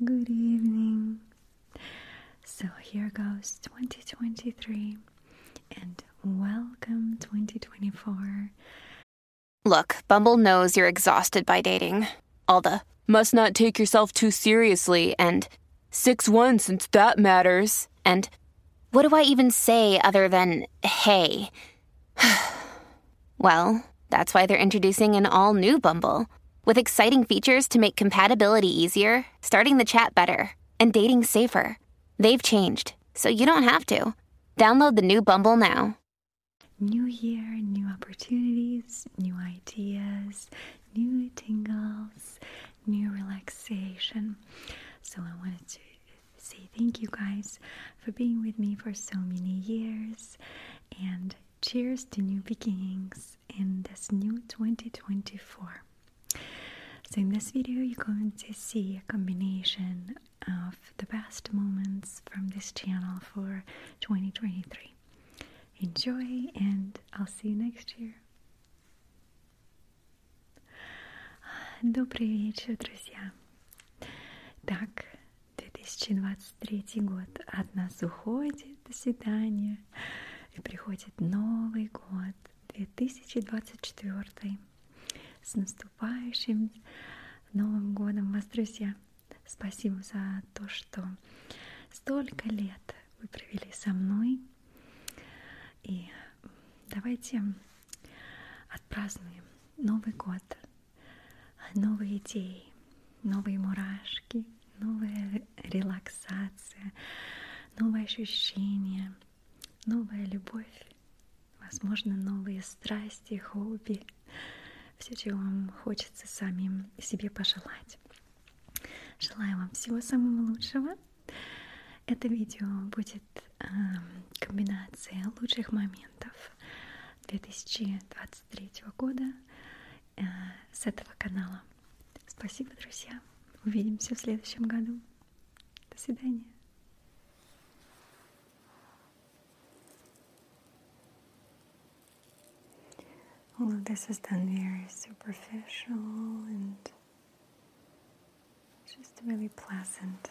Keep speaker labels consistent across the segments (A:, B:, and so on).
A: Good evening. So here goes 2023 and welcome 2024. Look, Bumble knows you're exhausted by dating. All the must not take yourself too seriously and 6 1 since that matters. And what do I even say other than hey? Well, that's why they're introducing an all new Bumble with exciting features to make compatibility easier, starting the chat better, and dating safer. They've changed, so you don't have to. Download the new Bumble now. New year, new opportunities, new ideas, new tingles, new relaxation. So I wanted to say thank you guys for being with me for so many years and Cheers to new beginnings in this new 2024. So, in this video, you're going to see a combination of the best moments from this channel for 2023. Enjoy, and I'll see you next year. Добрый вечер, друзья. Так, 2023 год от нас уходит, до свидания, и приходит Новый год 2024. С наступающим Новым годом вас, друзья! Спасибо за то, что столько лет вы провели со мной. И давайте отпразднуем Новый год новые идеи, новые мурашки, новая релаксация, новые ощущения, новая любовь, возможно, новые страсти, хобби, все, чего вам хочется самим себе пожелать. Желаю вам всего самого лучшего. Это видео будет э, эм, комбинацией лучших моментов 2020 23 года э, с этого канала. Спасибо, друзья. Увидимся в следующем году. До свидания. All of this is done very superficial and just really pleasant.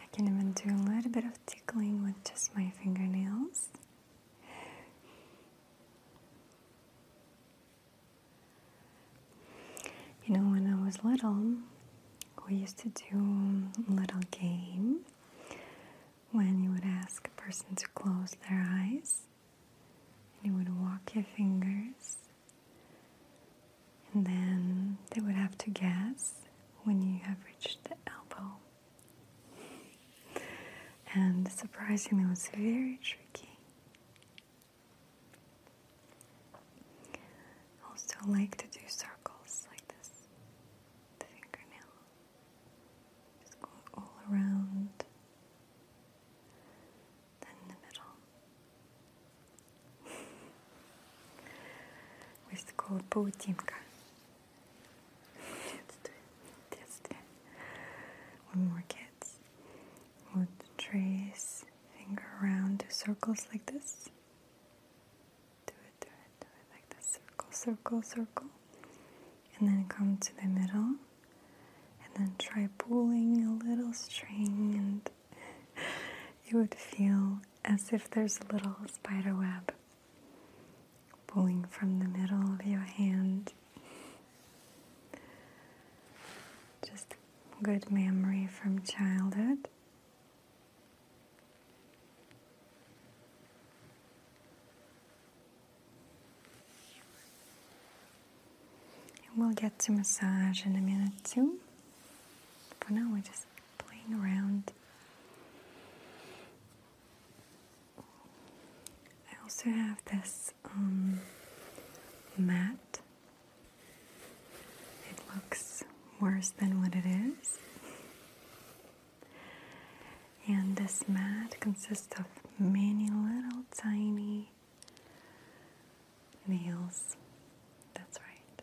A: I can even do a little bit of tickling with just my fingernails. You know, when I was little, we used to do a little game when you would ask a person to close their eyes and you would walk your fingers and then they would have to guess when you have reached the elbow. And surprisingly, it was very tricky. Also, like to do circles like this, the fingernail. Just go all around, then the middle. we used to that's it. That's it. One more, kids. we trace finger around to circles like this. Do it, do it, do it like this. Circle, circle, circle. And then come to the middle. And then try pulling a little string, and it would feel as if there's a little spider web pulling from the middle of your hand. Just good memory from childhood. we'll get to massage in a minute too. For now, we just playing around. I also have this um, mat. It looks worse than what it is. And this mat consists of many little tiny nails. That's right.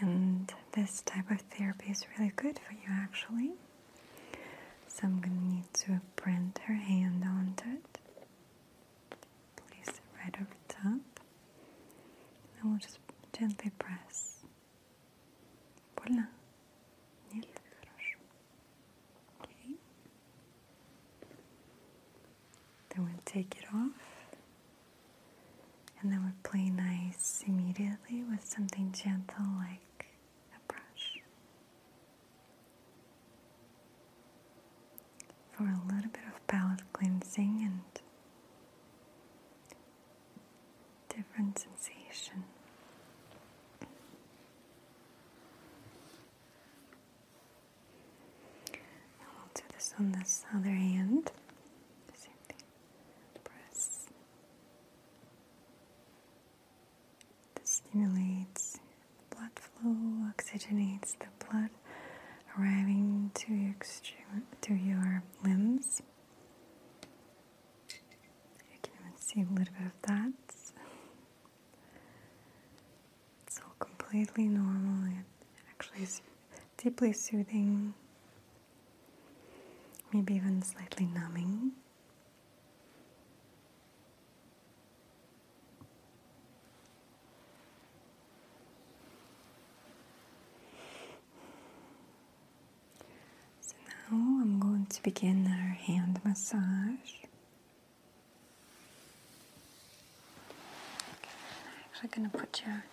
A: And this type of therapy is really good for you actually. So I'm going to need to print her hand onto it. Place it right over top. And we'll just gently press. Voila. Нет, Okay. Then we'll take it off and then we play nice immediately with something gentle like a brush. For a little bit of palette cleansing and different sensation. I'll do this on this other hand. same thing press. This stimulates blood flow, oxygenates the blood arriving to your limbs. You can even see a little bit of that. It's all completely normal. It actually is deeply soothing maybe even slightly numbing. So now I'm going to begin our hand massage. I'm actually going to put your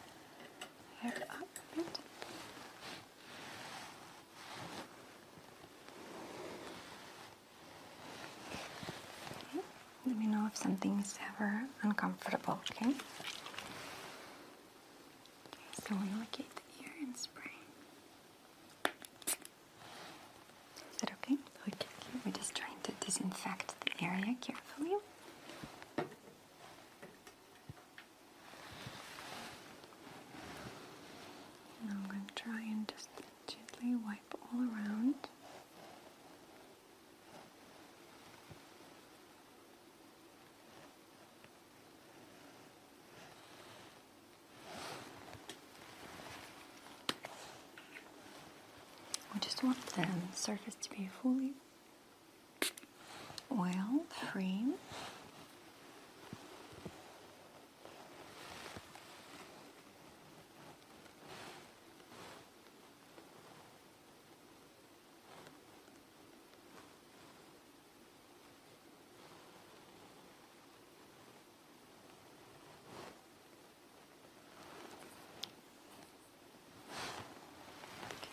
A: let me know if something is ever uncomfortable, okay? so we locate the ear and spray. Is that okay? Okay, we're just trying to disinfect the area carefully. I'm going to try and just gently wipe all around. I just want the surface to be fully oil frame.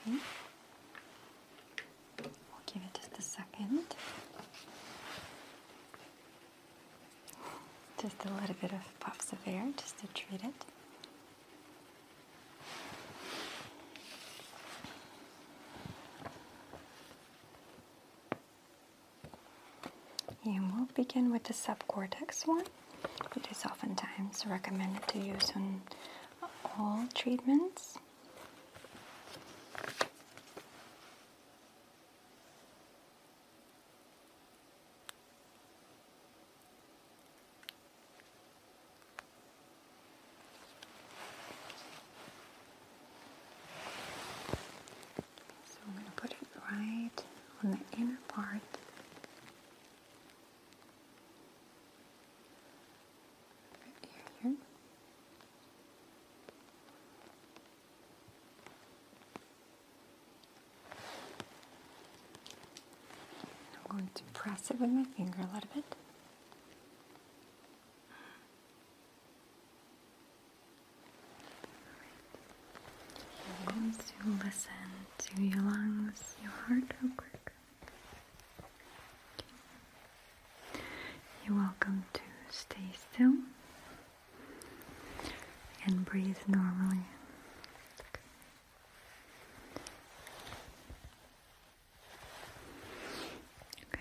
A: Okay. We'll give it just a second. Just a little bit of puffs of air just to treat it. And we'll begin with the subcortex one, which is oftentimes recommended to use on all treatments. So I'm going to put it right on the inner part I'm going to press it with my finger a little bit. I'm going to listen to your lungs, your heart real quick. You're welcome to stay still and breathe normally. Okay.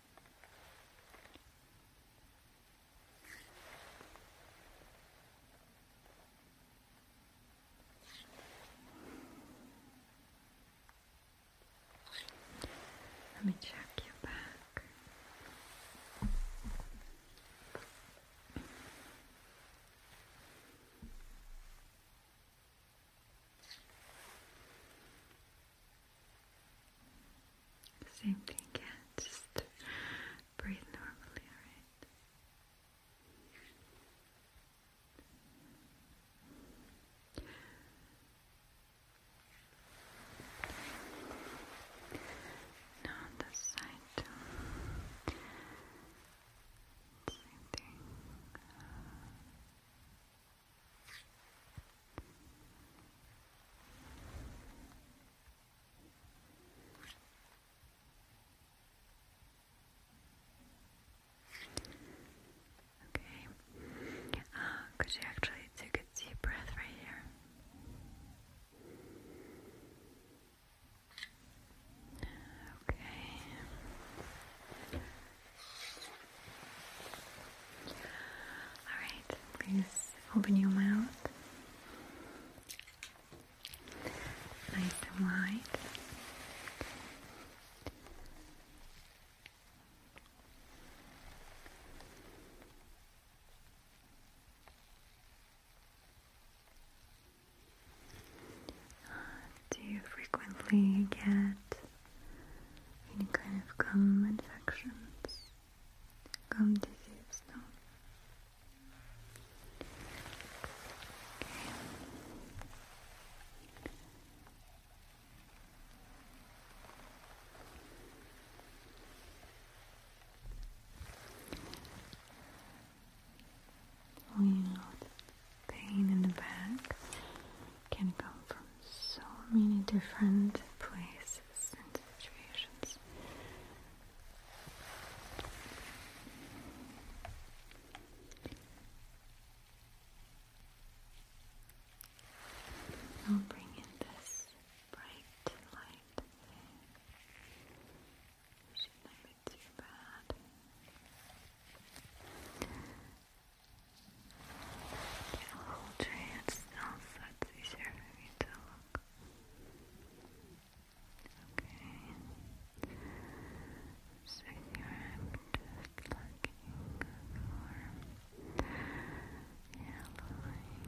A: Let me check your back. Same thing, yeah. Just breathe normally, alright? Now on side, same thing. Okay. Uh, could you actually take a deep breath right here? Okay. Alright, please open your mouth. Nice and wide. Do you frequently get any kind of gum infections? Come to no? Okay. Well, know, the pain in the back can come from so many different places and situations. I'll bring in this bright light thing. Shouldn't be too bad hold your hands still so it's easier for me to look. Okay. So here I'm just looking for yellowing of the white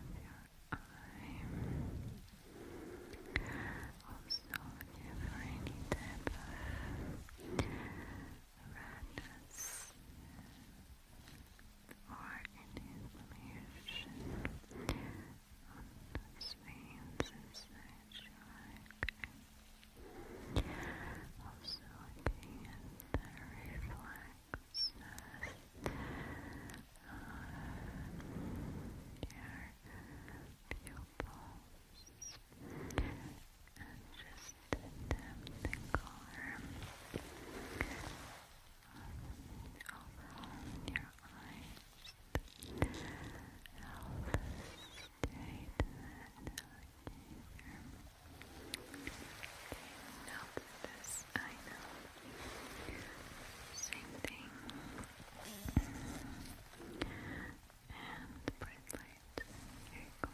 A: of your eye. Also, you have any type of radness or inflammation on those veins inside your Also looking the reflexness of your pupils and just damp the color um, overall your eyes. Help us stay to that alligator. this I Same thing and bright light. Here you go.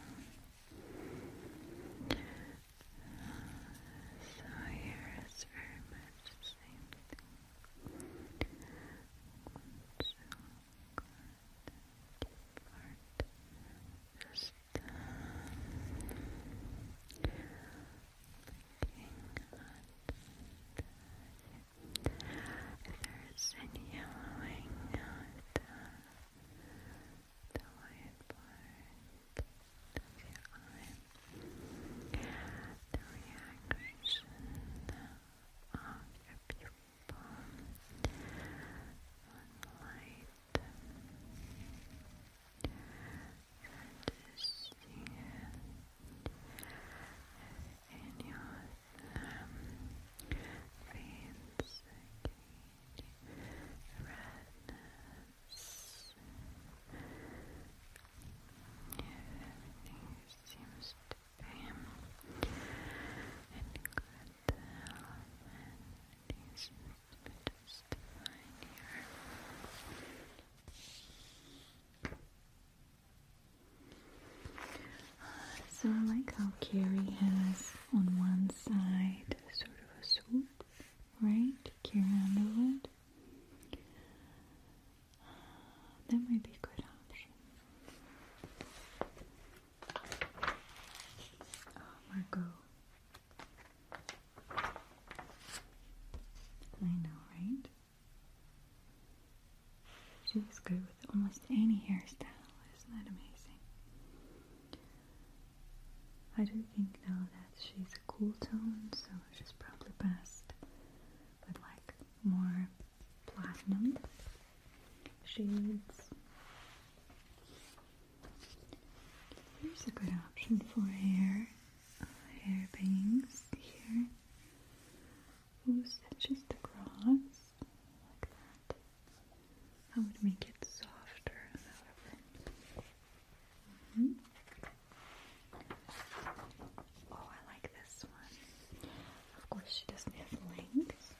A: So here is very much the same thing. So good. Just um, looking at the, if there is any yellowing, uh, if, uh, the white part of The reaction of your pupil light that is seen in your um, veins, okay, seems to be in good health, and everything here. So I like how Carrie has on one side sort of a swoop, right? Carrie Underwood. That might be a good option. Oh, I know, right? She was good with almost any hairstyle. Isn't that amazing? I do think now that she's a cool tone, so she's probably best with like more platinum shades. Here's a good option for hair, hair bangs here. Who stitches the cross like that? I would make it softer, mm-hmm. Oh, I like this one. Of course, she doesn't have length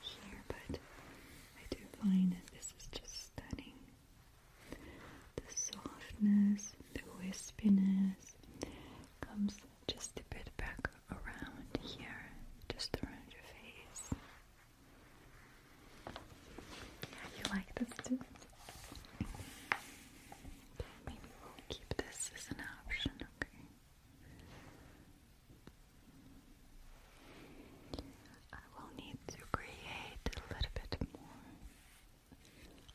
A: here, but I do find that this is just stunning. The softness, the wispiness comes just a bit back around here, just around your face. Yeah, you like this too? maybe we'll keep this as an option, okay? I will need to create a little bit more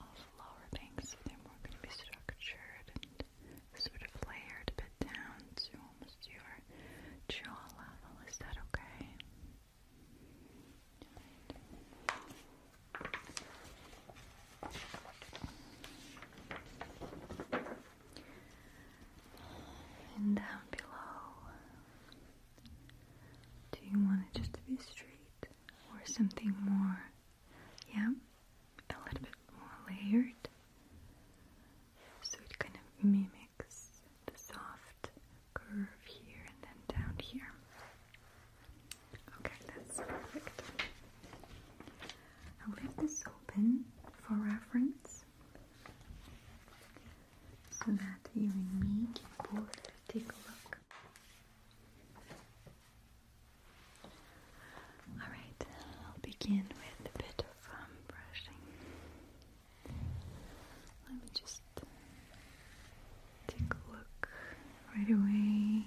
A: of lower things they're more going to be structured sort of layered a bit down to almost your jaw level. Is that okay? And down below, do you want it just to be straight or something more? Yeah? a little bit more layered so it kind of mimics the soft curve here and then down here. Okay, that's perfect. I'll leave this open for reference so that you and me can both take a look. Alright, I'll begin with a bit of um, brushing. Let me just take a look right away.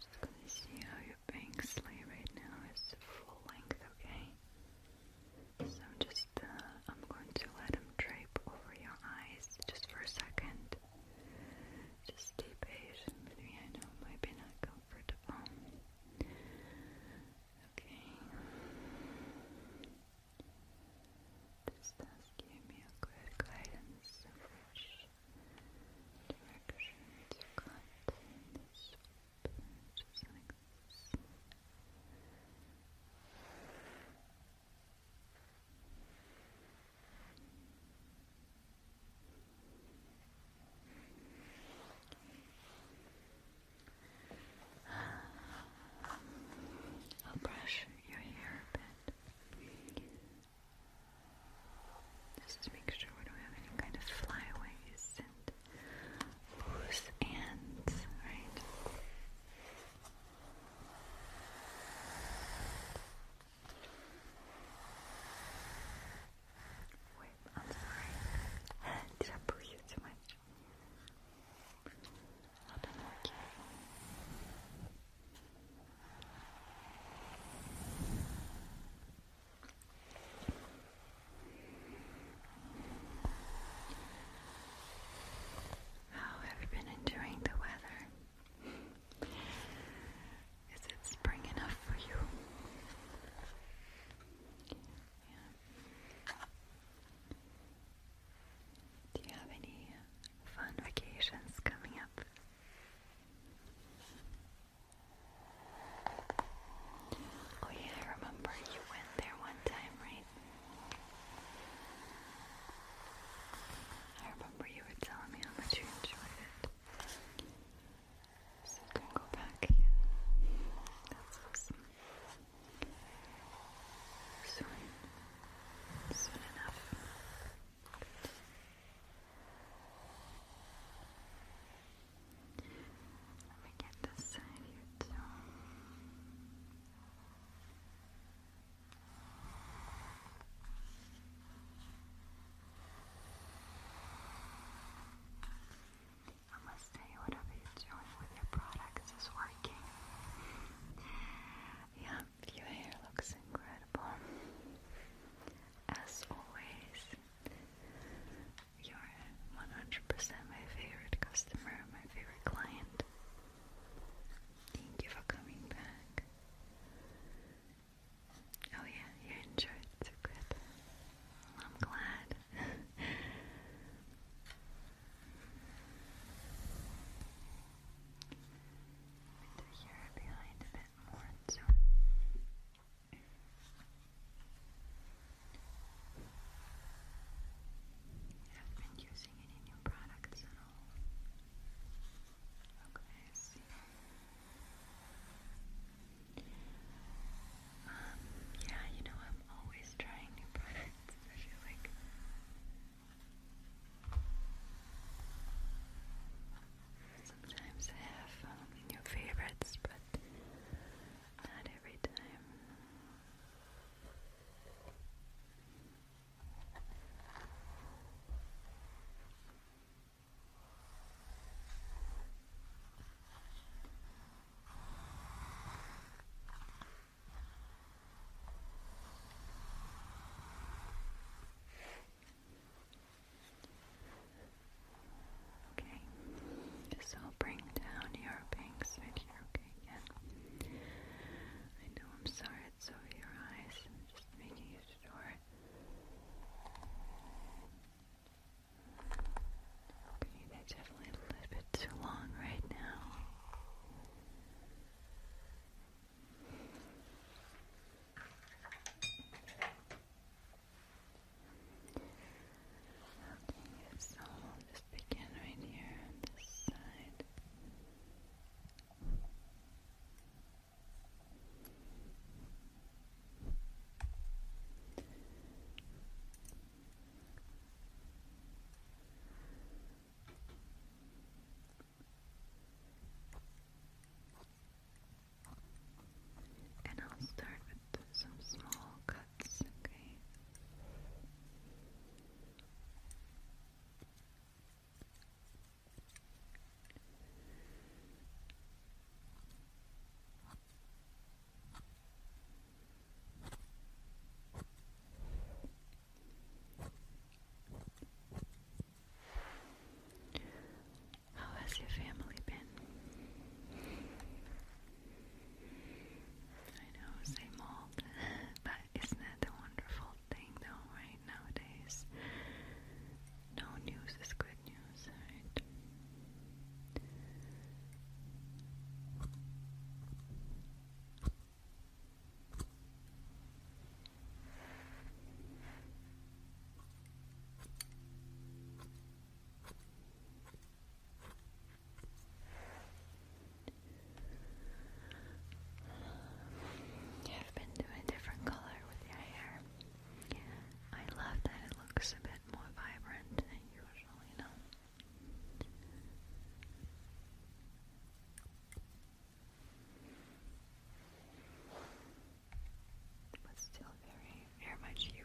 A: Just gonna see how your pink sleeve right now is full length, okay? So I'm just, uh, I'm going to let them drape over your eyes just for a second. Just stay patient with me, I know it might be not comfortable. Okay. This give me a good guidance, which directions you I'll brush your hair a bit. Just to make sure we don't have any kind of flyaways and loose ends, right? Wait, I'm sorry. Did I push you too much? Okay. How have you been enjoying the weather? Is it spring enough for you? Do you have any fun vacations coming up? Oh yeah, I remember you went there one time, right? I remember you were telling me how much you enjoyed it. So you can go back again. That's awesome. Soon. Soon enough. Good. Let me get this side here too. I whatever you're doing with your products is working. Yep, your hair looks incredible. As always, you're 100% my favorite customer, my favorite client. Thank you for coming back. Oh yeah, you enjoyed the good. I'm glad. They're here behind a bit more, have been using any new products at all. Okay, um, yeah, you know I'm always trying new products, I feel like sometimes have um, new favorites, but not every time. Okay, so bring down your bangs right here, okay, again. I know I'm sorry it's over your eyes, just making you sure. Okay, that's definitely a little bit too long right now. Okay, so we'll just begin right here on this side. And I'll start with some small cuts, okay? How has your family been? I know, same old, but isn't that a wonderful thing though, right? Nowadays, no news is good news, right? How you have been to a different color with your hair. I love that it looks a bit more vibrant than usual, you know but still very, very much you.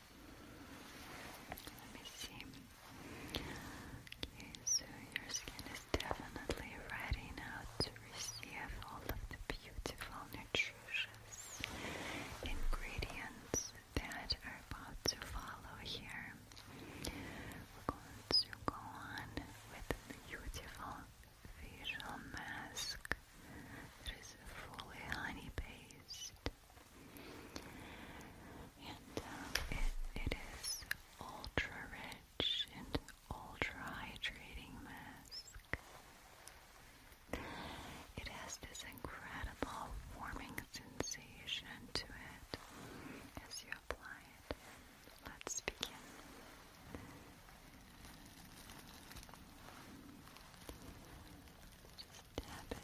A: Let me see. Okay, so your skin is definitely ready now to receive all of the beautiful, nutritious ingredients that are about to follow here. We're going to go on with a beautiful facial mask that is fully honey based. And uh, it is ultra rich and ultra hydrating mask. It has this incredible warming sensation to it as you apply it. Let's begin tap uh,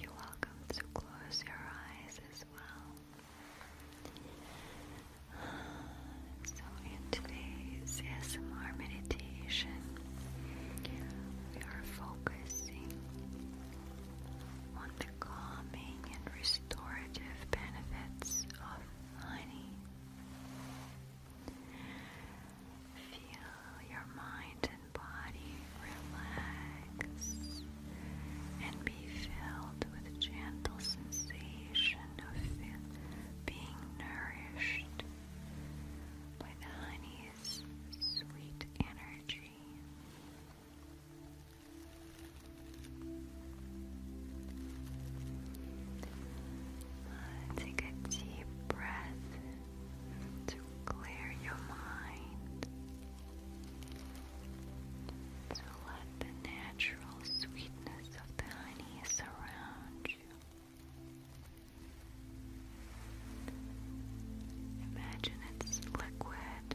A: you're welcome to close your eyes as well. So, in today's ASMR meditation, we are focusing on the calming and restorative benefits of honey. Feel your mind and body relax and be filled with gentle sensations sensation of being nourished by the honey's sweet energy. Uh, take a deep breath to clear your mind, to let the natural sweetness of the honey surround you. Imagine its liquid,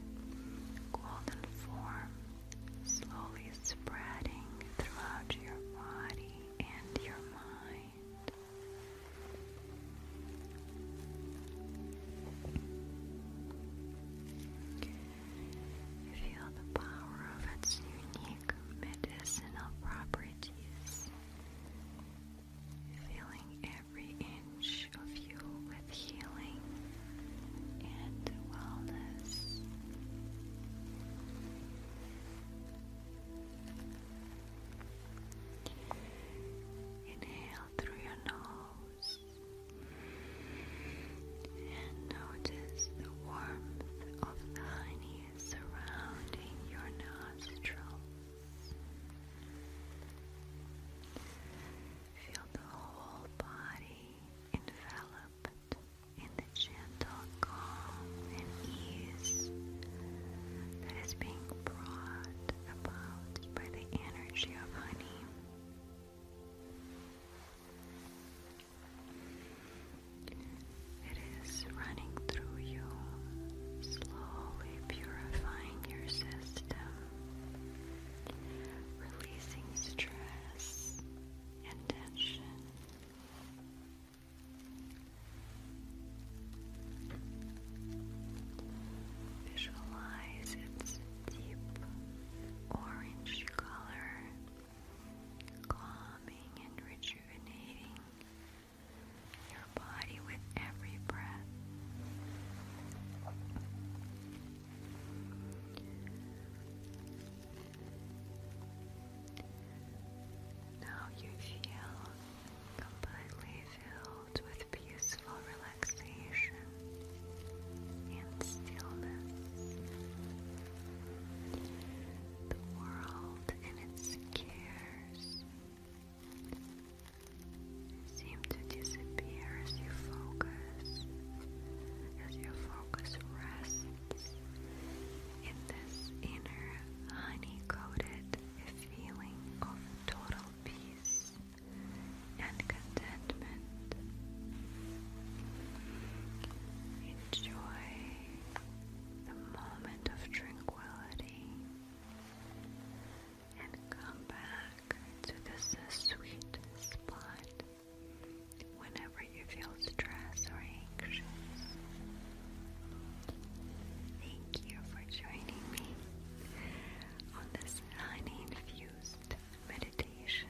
A: golden form slowly spreading throughout your body and your mind. Feel the power of its unique medicinal properties. Filling every inch of you with healing and wellness. Inhale through your nose. And notice the warmth of the honey surrounding your nostrils. Feel the whole body enveloped in the gentle calm and ease that is being brought about by the energy of honey. It is running through you, slowly purifying your system, releasing stress and tension. Visualize its deep orange color calming and rejuvenating your body with every breath. Now you feel completely filled with peaceful relaxation and stillness the world and its cares seem to disappear as you focus, as your focus rests in this inner honey-coated feeling of total peace and contentment. Enjoy the moment of tranquility and come back to this sweet spot whenever you feel stress or anxious. Thank you for joining me on this honey infused meditation.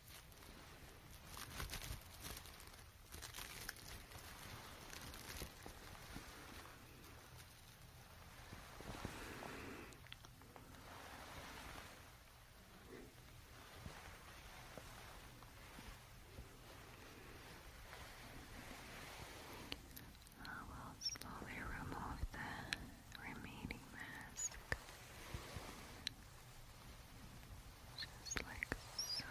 A: I oh, will slowly remove the remaining mask. Just like so.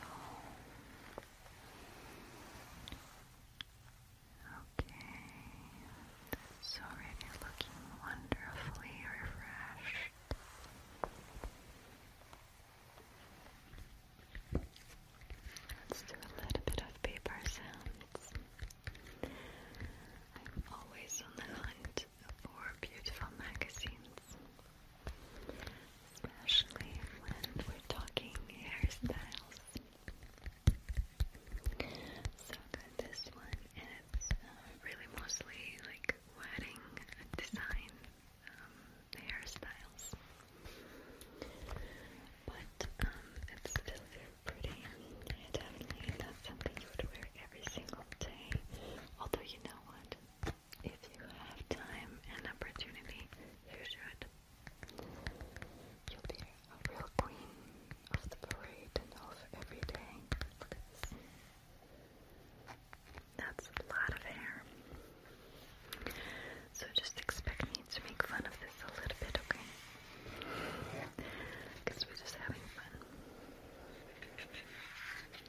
A: Okay. It's already looking wonderfully refreshed. Let's do a little bit of paper sounds. I'm always on the hunt for beautiful magazines, especially when we're talking hairstyles. So I got this one, and it's uh, really mostly like wedding design um, hairstyles. But um, it's still very pretty. Definitely not something you would wear every single day. Although, you know what? If you have time and opportunity, you should. You'll be a real queen of the parade and of every day. That's a lot of hair. So just expect me to make fun of this a little bit, okay? Because we're just having fun. I know,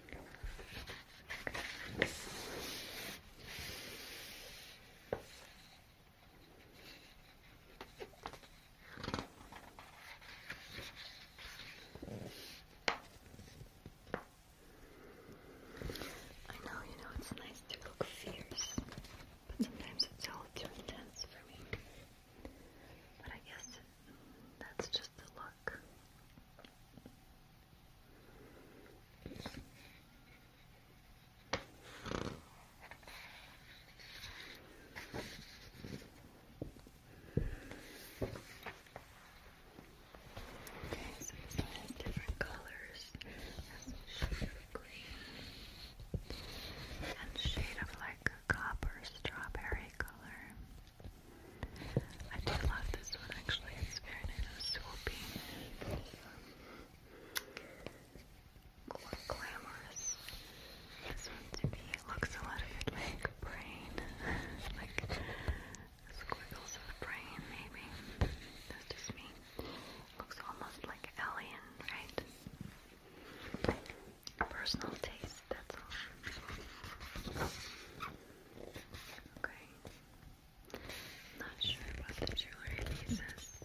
A: you know, it's nice to look fierce, but sometimes it's all too intense for me. But I guess that's just just the look. Okay, so this different colors. Has a shade of green and shade of like copper strawberry color. I do love this one actually, it's very nice and glamorous. This one to me looks a lot of it like brain. like squiggles of brain maybe. That's just me. Looks almost like alien, right? Personal taste that's all. Okay. Not sure about the jewelry pieces.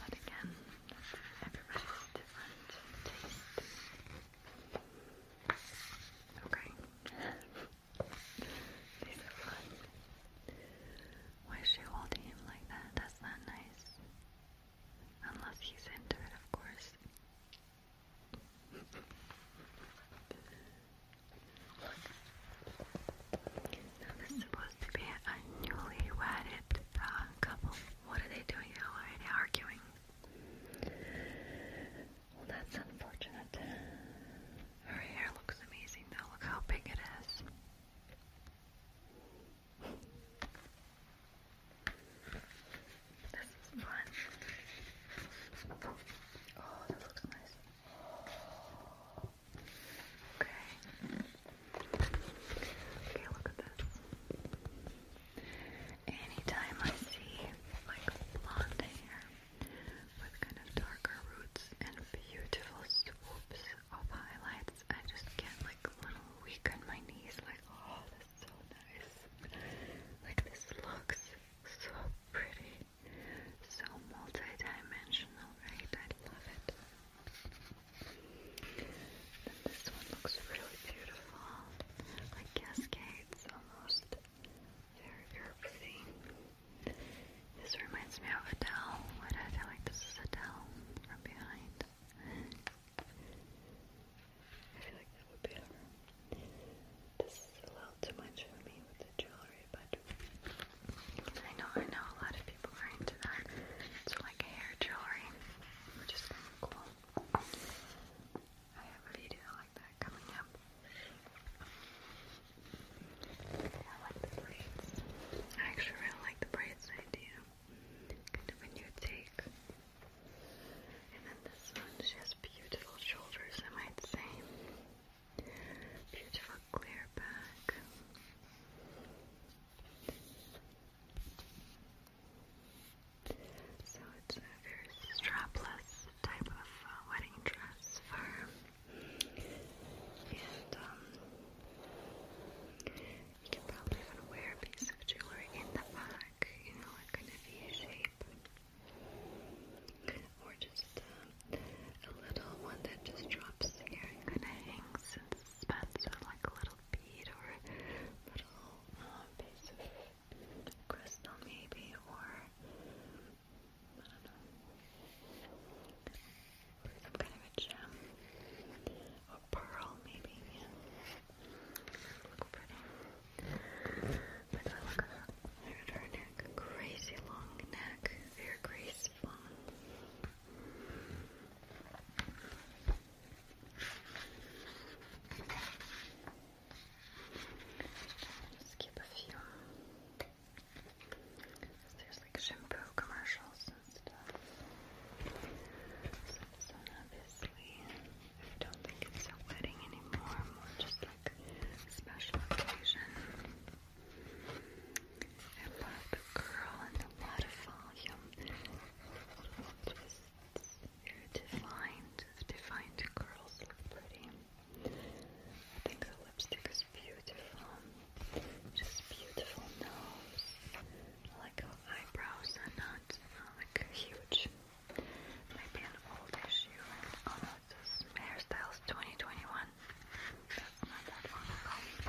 A: But again, everybody's different taste. Okay. These are Why is she holding him like that? That's not nice. Unless he's into it, of course this is supposed to be a newlywed uh, couple. What are they doing now? are they arguing? that's unfortunate. Her hair looks amazing though. Look how big it is. This is fun. Oh, that looks nice. Okay. Okay, look at this. Anytime I see like blonde hair with kind of darker roots and beautiful swoops of highlights, I just get like a little weak on my knees, like, oh, so nice. Like this looks so pretty, so multi-dimensional, right? I love it. Then this one looks really beautiful, like cascades almost. Very curvy. This reminds me of Adele. What I feel like this is Adele from behind. I feel like that would be um, This is a little too much for me with the jewelry, but I know I know a lot of people are into that. It's like hair jewelry, which is cool. I have a video like that coming up. I like the braids. I actually really like the braids idea. Kind of a new take and then this one, she has beautiful shoulders, I might say. Beautiful clear back. So it's a very strapless type of uh, wedding dress for and um, you can probably even wear a piece of jewelry in the bag neck, you know, like kind of V shape. Or just um, a little one that just drops here kind of hangs and suspends with like a little bead or little um, piece of crystal maybe, or some kind of a gem, or pearl maybe, Look pretty. But I look at her neck, crazy long neck, very graceful. Skip a few. There's like shampoo commercials and stuff. obviously. I don't think it's a wedding anymore, more just like a special occasion. I love the curl and defined, defined curls look pretty. I think the lipstick is beautiful. Just beautiful nose. I like how eyebrows are not like huge. Might be an old issue. Oh no, it says Hairstyles 2021. That's not that long ago.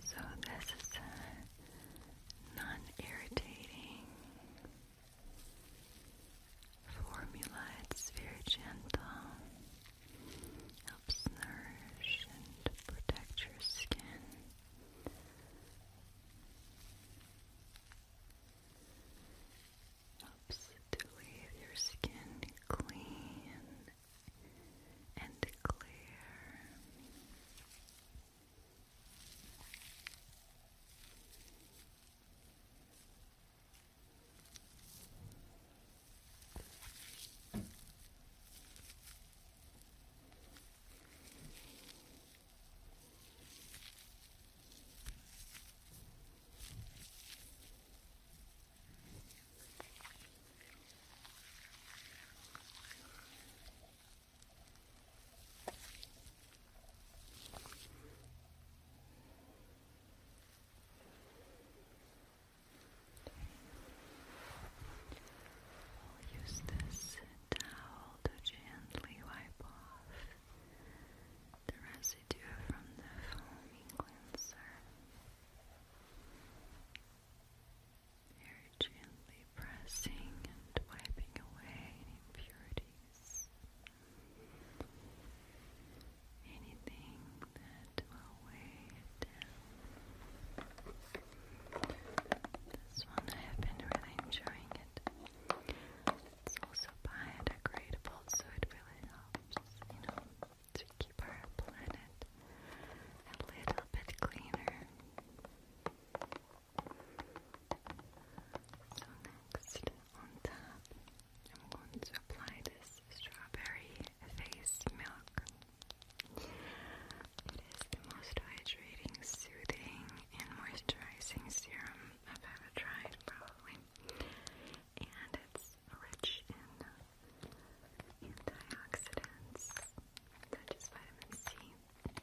A: So this is uh, non-irritating formula. It's very gentle. Helps nourish and protect your skin helps to leave your skin clean and clear. We'll use this towel to gently wipe off the residue from the foaming cleanser. Very gently pressing and wiping away impurities. Anything that will weigh down. This one I have been really enjoying it. It's also biodegradable, so it really helps, you know to keep our planet a little bit cleaner. So, next on top, I'm going to apply this strawberry face milk. It is the most hydrating, soothing, and moisturizing serum I've ever tried, probably. And it's rich in antioxidants, such as vitamin C. And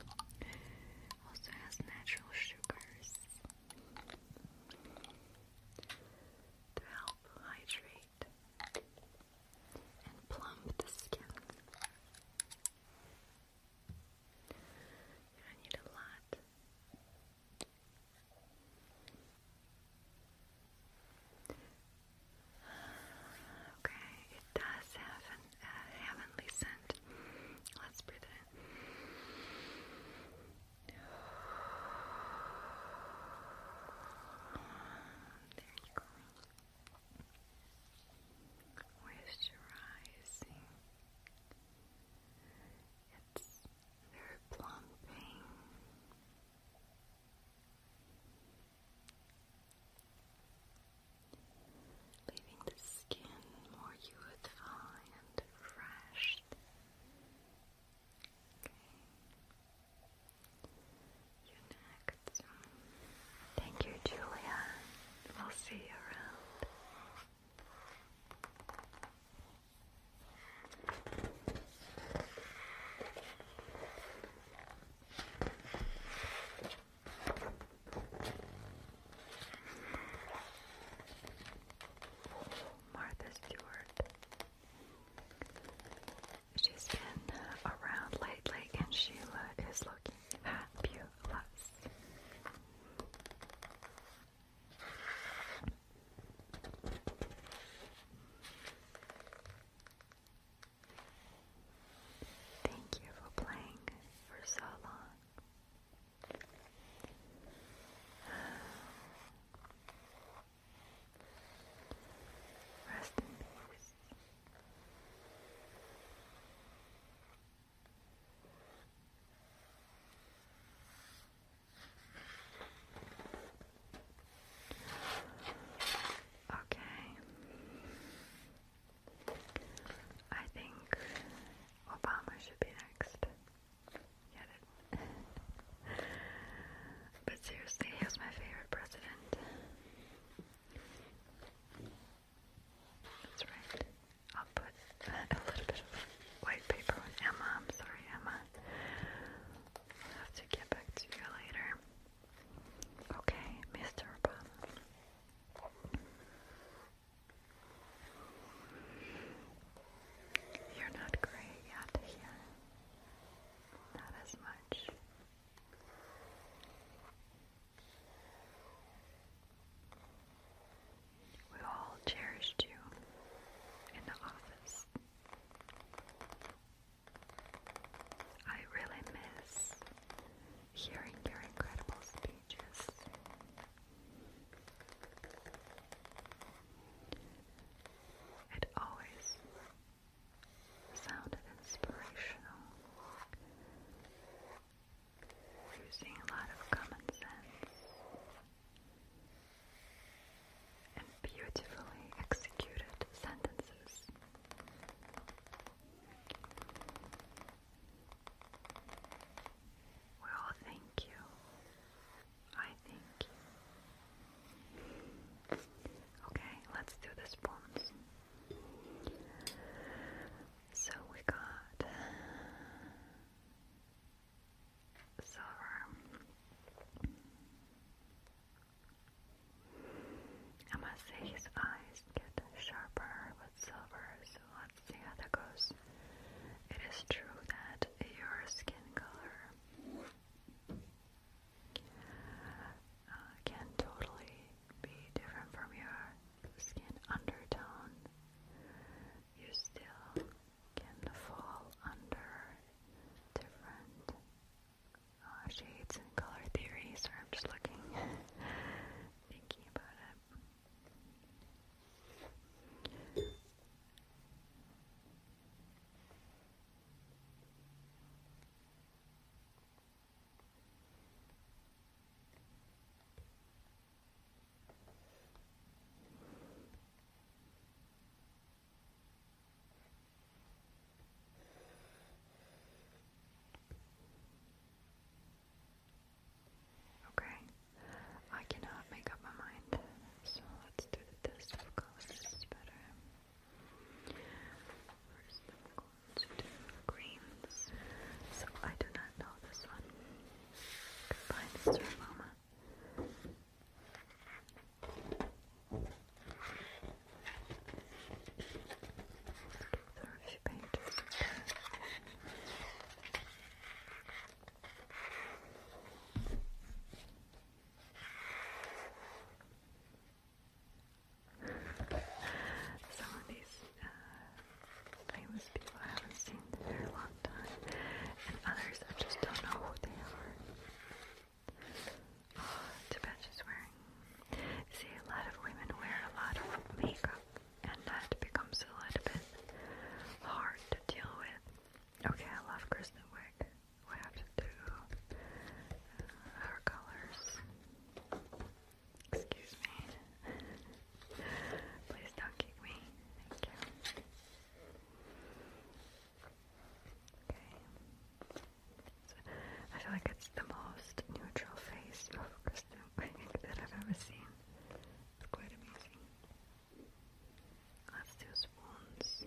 A: um, also has natural sugars to help hydrate and plump the skin. You don't need a lot. Okay, it does have an uh, heavenly scent. Let's breathe it in. There you go moisturizing. It's very plumping. Leaving the skin more youthful and refreshed you next. Thank you, Julia. We'll see you around. Martha Stewart. She's been around lately, and Sheila is looking fabulous. Thank you for playing for so long. Rest in peace. Okay. I think Obama should be next. Get it? but seriously, he was my favorite president. That's right. I'll put a little bit of white paper Emma. I'm sorry, Emma. have to get back to you later. Okay, Mr. Obama. You're not gray yet here. Not as much. We all cherished you in the office. I really miss hearing your incredible speeches. It always sounded inspirational. Using a lot of common sense and beautifully executed sentences. We thank you. I thank you. Okay, let's do the spoons. So we got silver. I must say his eyes get sharper with silver, so let's see how that goes. It is true that your skin color uh, can totally be different from your skin undertone. You still can fall under different uh, shades and color theories. Or I'm just looking, thinking about it. Okay, I cannot make up my mind, so let's do the test of better. First, I'm going to do greens. So I do not know this one. Goodbye, Mr. Mama. There a few pages. Some of these uh, famous people I haven't seen in a very long time, and others I just don't know who they are. Oh, Tibet's wearing. See, a lot of women wear a lot of makeup, and that becomes a little bit hard to deal with. Okay, I love Kristen Wiig. We to do uh, colors. Excuse me. Please don't kick me. Thank you. Okay. I feel like it's the most neutral face of Kristen that I've ever seen. It's quite amazing. Let's spoons.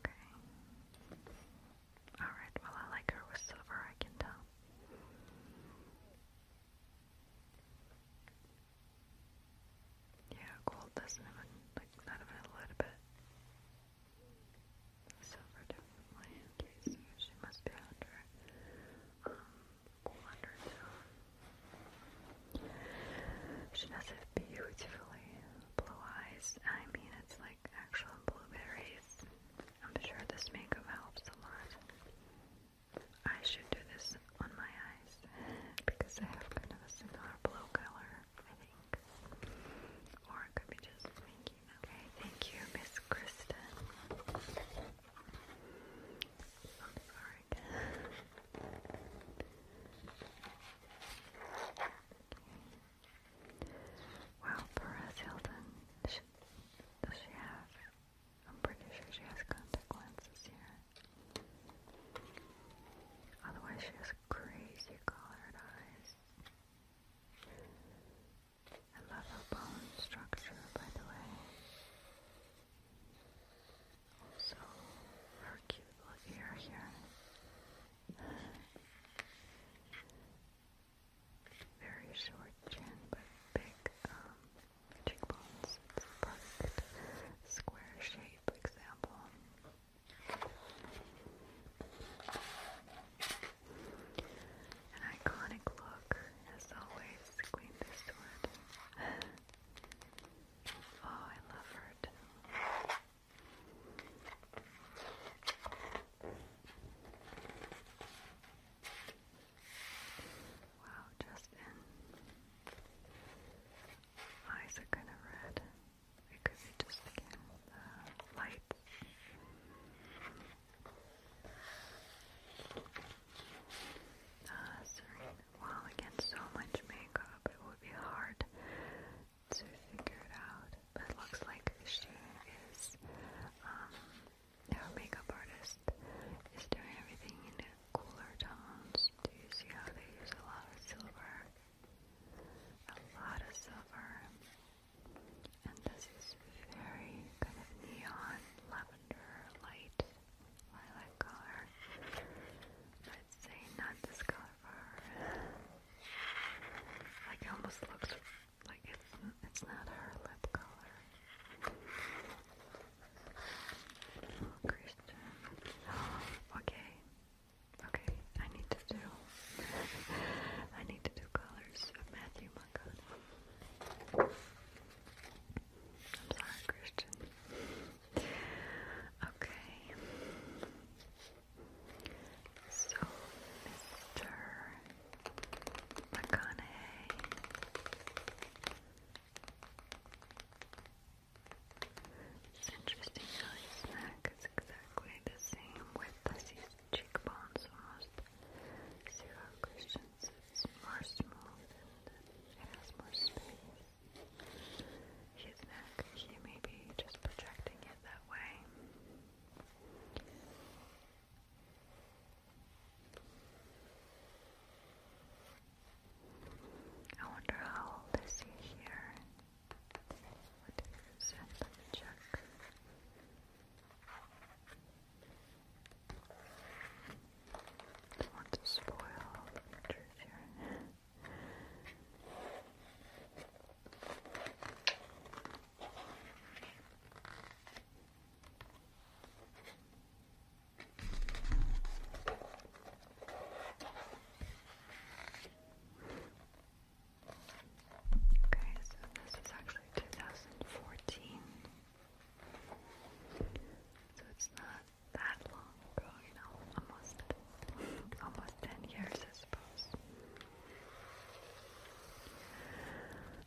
A: Okay. Alright, well I like her with silver, I can tell. Yeah, gold doesn't even, like, not even a little bit. Silver definitely, she must be under, um, cool She does have beautifully blue eyes, I mean, it's like, actual blueberries. I'm sure this makeup helps a lot. I should do this on my eyes because I have kind of a similar blue color, I think. Or it could be just making Okay, thank you, Miss Kristen. sorry. Okay. Wow, Perez Hilton. does she have? I'm pretty sure she has contact lenses here. Otherwise, she has crazy colored eyes. I love her bone structure, by the way. Also, her cute little ear here. Very short chin, but big um, cheekbones. perfect square shape example. An iconic look, as always, Queen Eastwood. oh, I love her Wow, Justin. Eyes are kind of red. It could just again the light. Uh, Serena, again, so much makeup. It would be hard to figure it out. But it looks like this she is, um, her makeup artist is doing everything in cooler tones. Do you see how they use a lot of silver? A lot of silver. And this is very kind of neon, lavender, light, lilac color. I'd say not this color for her. Like it almost looks like it's it's not her lip color. Oh, Christian. okay. Okay, I need to do I need to do colors of Matthew Moncada. I'm sorry, Christian. Okay. So, Mr. McConaughey It's interesting how his neck is exactly the same width as cheekbones almost zero cushions, it's more smooth and it has more space his neck, he may be just projecting it that way I wonder how old is he here? What is it? Let me check. don't want to spoil the pictures here. Okay, so this is actually 2014. So it's not that long you know, almost almost ten years I suppose.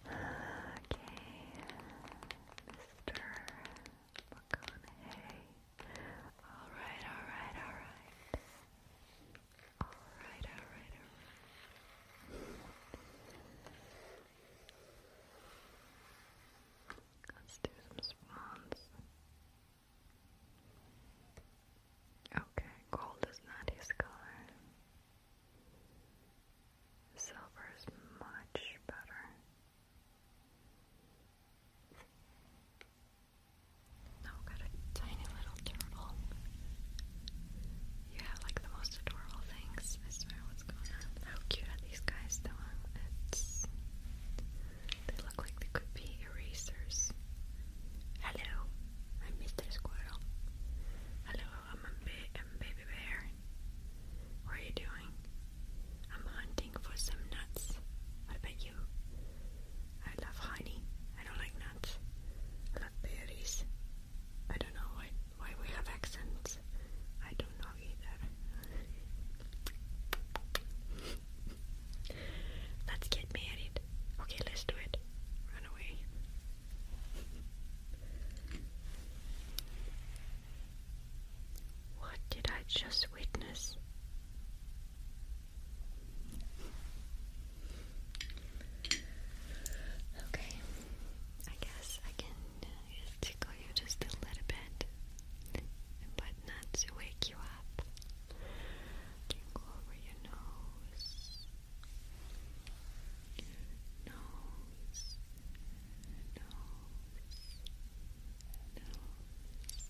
A: Okay, Mr. McConaughey. Alright, alright, alright. Alright, alright, alright. Let's do some swans. Okay, gold is not his color. Silver is much better. Now oh, got a tiny little turtle. You have like the most adorable things. I swear, what's going on? How cute are these guys, though? It's they look like they could be erasers. Hello, I'm Mr. Squirrel. Hello, I'm a baby bear. What are you doing? I'm hunting for some nuts. What about you? I love honey. I don't like nuts. love berries. I don't know why why we have accents. I don't know either. Let's get married. Okay, let's do it. Run away. What did I just witness? Okay, I guess I can uh, tickle you just a little bit, but not to wake you up. Tingle over your nose. Nose. Nose. Nose. Nose. Nose.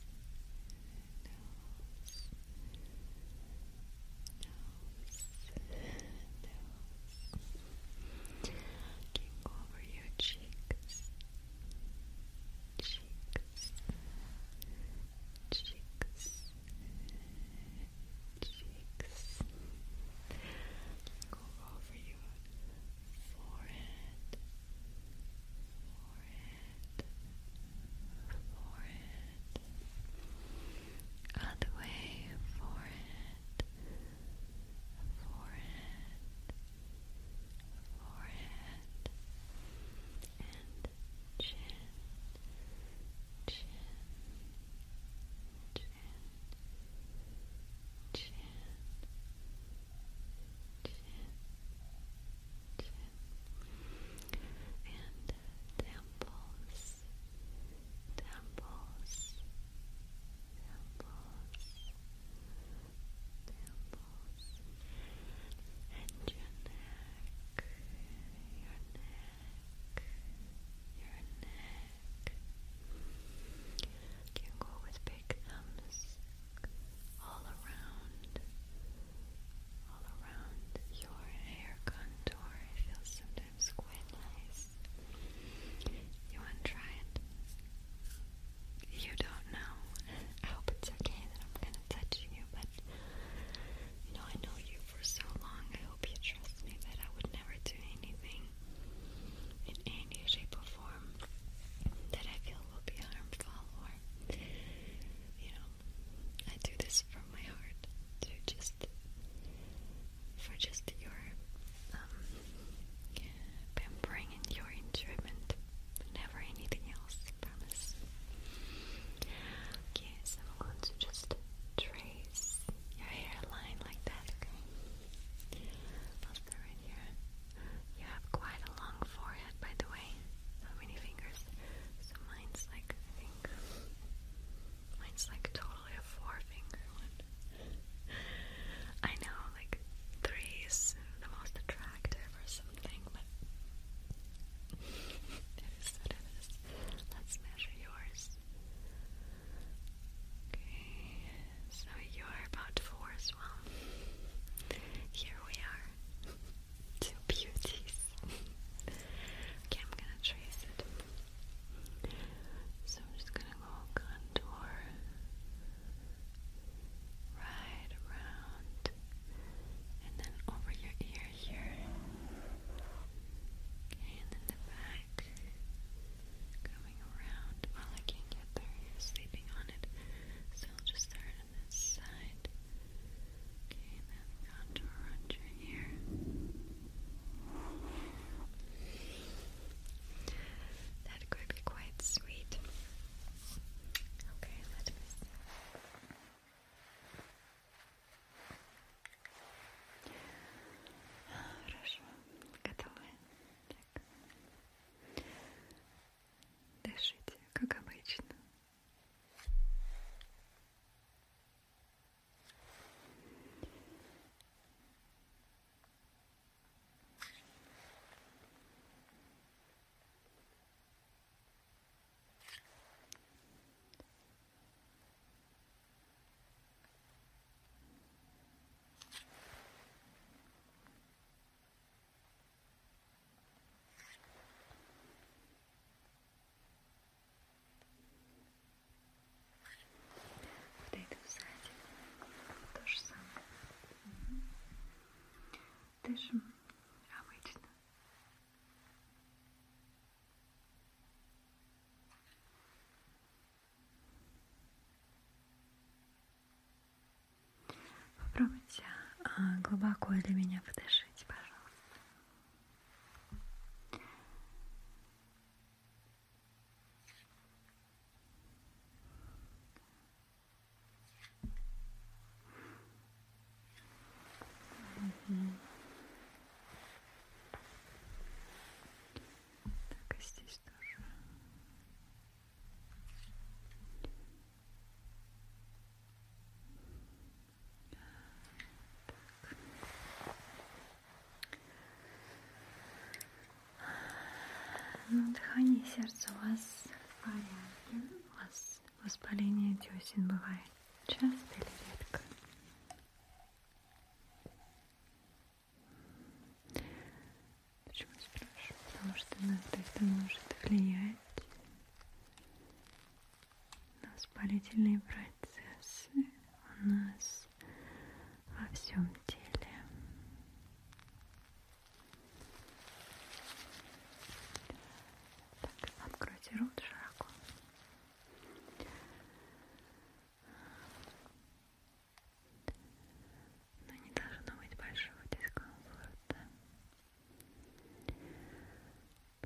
A: Nose. Tingle over your cheeks. Cheeks. Cheeks cheeks, go over your forehead, forehead, forehead, other way, forehead, forehead, forehead, and chin, chin, chin, chin, chin, chin, and temples, temples, temples, temples, and your neck, your neck your neck. You go with big thumbs all around, all around your hair contour. It feels sometimes quite nice. You want to try it? You don't know. I hope it's okay that I'm kind of touching you, but you know, I know you for so long. I hope you trust me that I would never do anything in any shape or form that I feel will be harmful or, you know, I do this from my heart to just, for just your, um, pampering and your enjoyment, never anything else, promise. Okay, so I'm going to just trace your hairline like that, okay? I'll start right here. You have quite a long forehead, by the way. How many fingers? So mine's like, I think, mine's like totally a four finger one. I know, like, three is the most attractive or something, but it is is. Let's measure yours. Okay, so you're about four as well. Here we are. Two beauties. okay, I'm gonna trace it. So I'm just gonna go contour right around and then over your ear layer here. and then the back going around. Well, I can get there. you sleeping on it. So I'll just start on this side. Okay, and then contour around your That could be quite sweet. Okay, let me Хорошо, готовы? Так. Дышите, как обычно. Вот это сзади то же самое. Угу. Дышим обычно. Попробуйте а, глубоко для меня подышите, пожалуйста. Угу. Так, и здесь тоже. Так. Ну, дыхание сердца у вас в порядке. У вас воспаление десен бывает. Часто или редко? Почему спрашиваю? Потому что иногда это может влиять на воспалительные процессы у нас во всем теле. Так, откройте рот широко. Но не должно быть большого дискомфорта.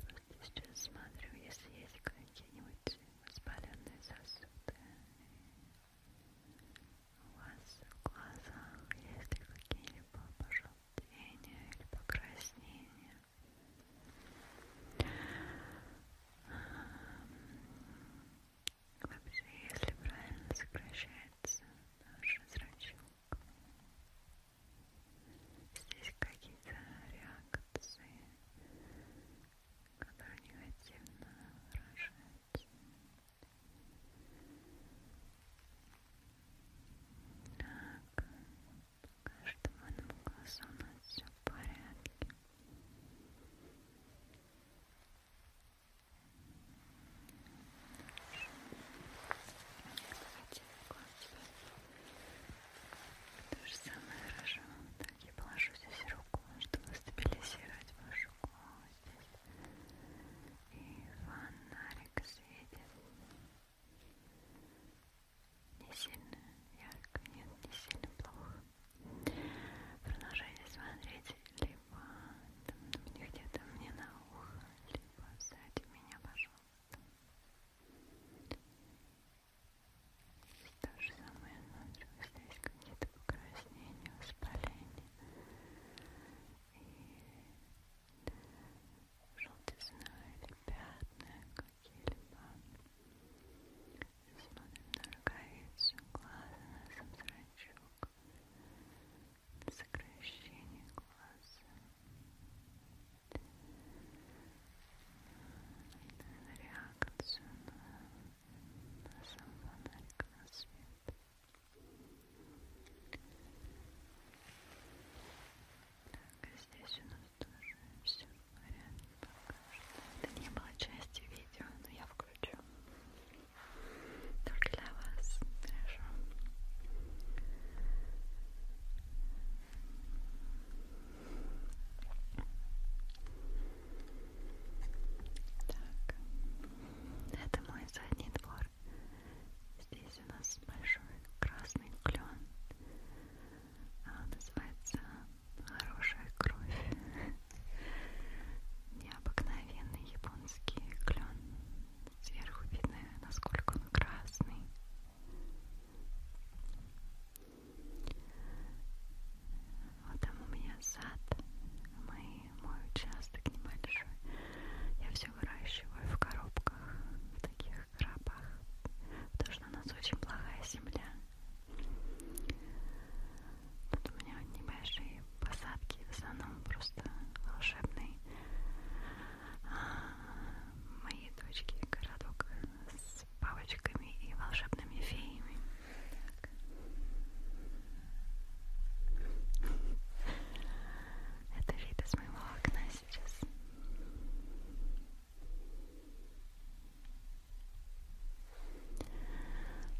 A: Просто сейчас смотрю, если есть какие-нибудь воспаленные сосуды. У вас в глазах есть какие-либо пожелтения или покраснения. Вообще, если правильно сокращается наш зрачок, здесь какие-то реакции, которые негативно выражаются. Так по каждому глазу у нас все в порядке Кстати, то же самое хорошо. Так, я положу здесь руку, чтобы стабилизировать вашу голову здесь. И фонарик светит. Не сильно ярко, нет, не сильно плохо. Продолжайте смотреть, либо там мне ну, где-то мне на ухо, либо сзади меня, пожалуйста. То же самое ночью ну, здесь какие-то покраснения, воспаления. И желтизна или пятна какие-либо. Смотрим на роговицу глаза, на сам зрачок, на сокращение глаза, на реакцию на, на сам фонарик, на свет. Так, здесь у нас тоже все в порядке пока что. Это не было частью видео, но я включу. Только для вас. Хорошо. Так, это мой задний двор. Здесь у нас большой красный клен. А, называется «Хорошая кровь». Необыкновенный японский клен. Сверху видно, насколько он красный. Вот там у меня сад. Мы, мой участок небольшой. Я все выращиваю в коробках, в таких храпах, потому что у нас очень плохая земля. Тут у меня небольшие посадки, в основном просто волшебные. А, мои дочки городок с палочками и волшебными феями. Так. Это вид из моего окна сейчас.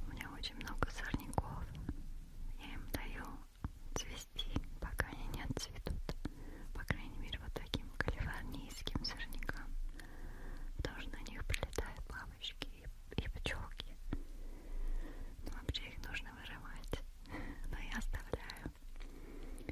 A: У меня очень много сорняков. Я им даю цвести, пока они не отцветут. По крайней мере, вот таким калифорнийским сорнякам. Потому что на них прилетают бабочки и, и пчелки. Но ну, вообще их нужно вырывать. Но я оставляю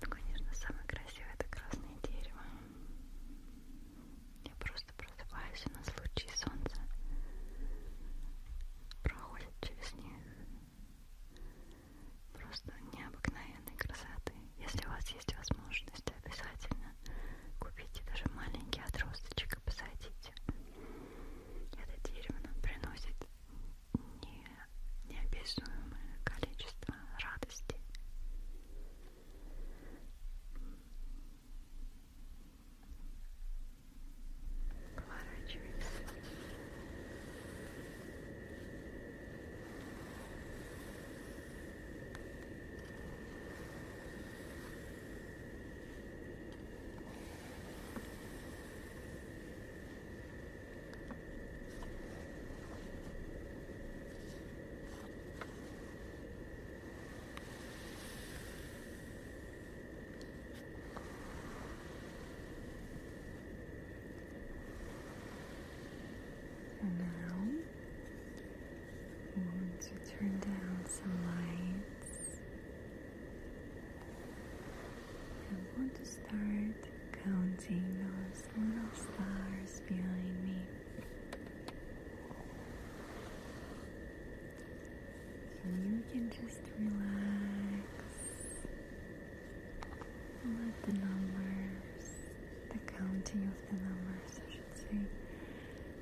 A: Ну, конечно, самое красивое это красное дерево. Я просто просыпаюсь, и на случай солнца проходит через них. Просто необыкновенной красоты. Если у вас есть возможность, обязательно купите даже маленький отросточек и посадите. Это дерево нам приносит не, неописуемое количество радости. Поворачиваемся. Вдох. And now want to turn down some lights I want to start counting those little stars behind me. And you can just relax. Let the numbers, the counting of the numbers, I should say,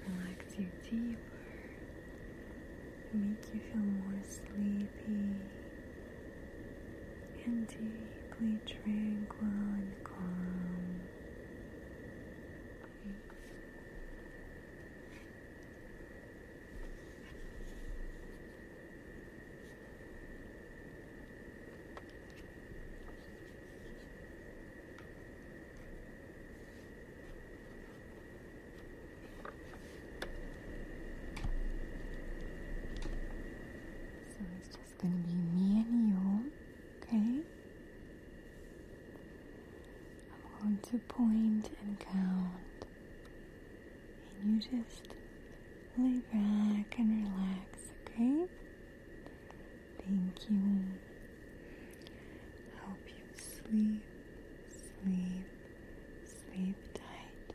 A: relax you deeper, make you feel more sleepy and deeply tranquil and calm. So it's just gonna be me and you, okay? I'm going to point and count, and you just lay back and relax, okay? Thank you. hope you sleep, sleep, sleep tight.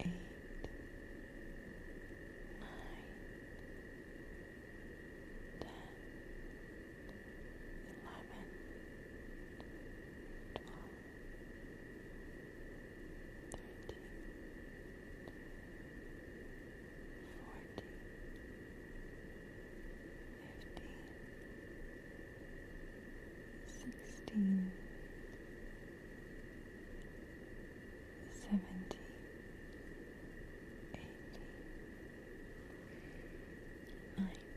A: eight, nine, ten, eleven, twelve, thirteen, fourteen, fifteen, sixteen seventy, eighty, ninety, twenty,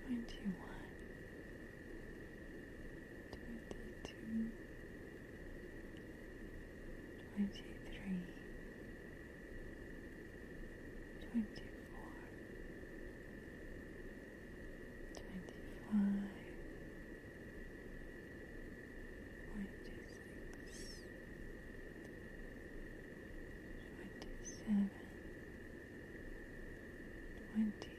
A: twenty one, twenty two, twenty three. 22 23 22 24 twenty four, twenty five, twenty six, twenty seven, twenty eight, twenty nine, thirty.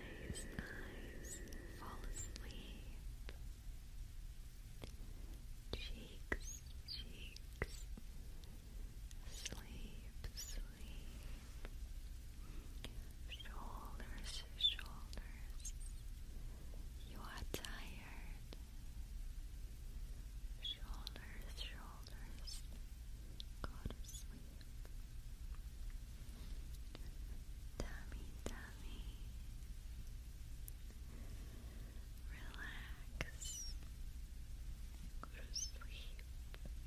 A: Nice eyes fall asleep. Cheeks, cheeks, sleep, sleep. Shoulders, shoulders. You are tired tired. Shoulders, shoulders, go to sleep. Tummy, tummy, relax, go to sleep. Head, head.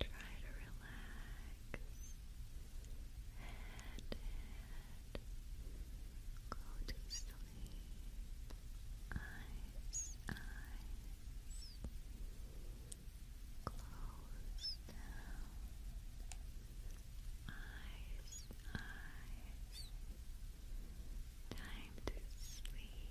A: Try to relax and, go to sleep. Eyes, eyes, close Eyes, eyes. Time to sleep.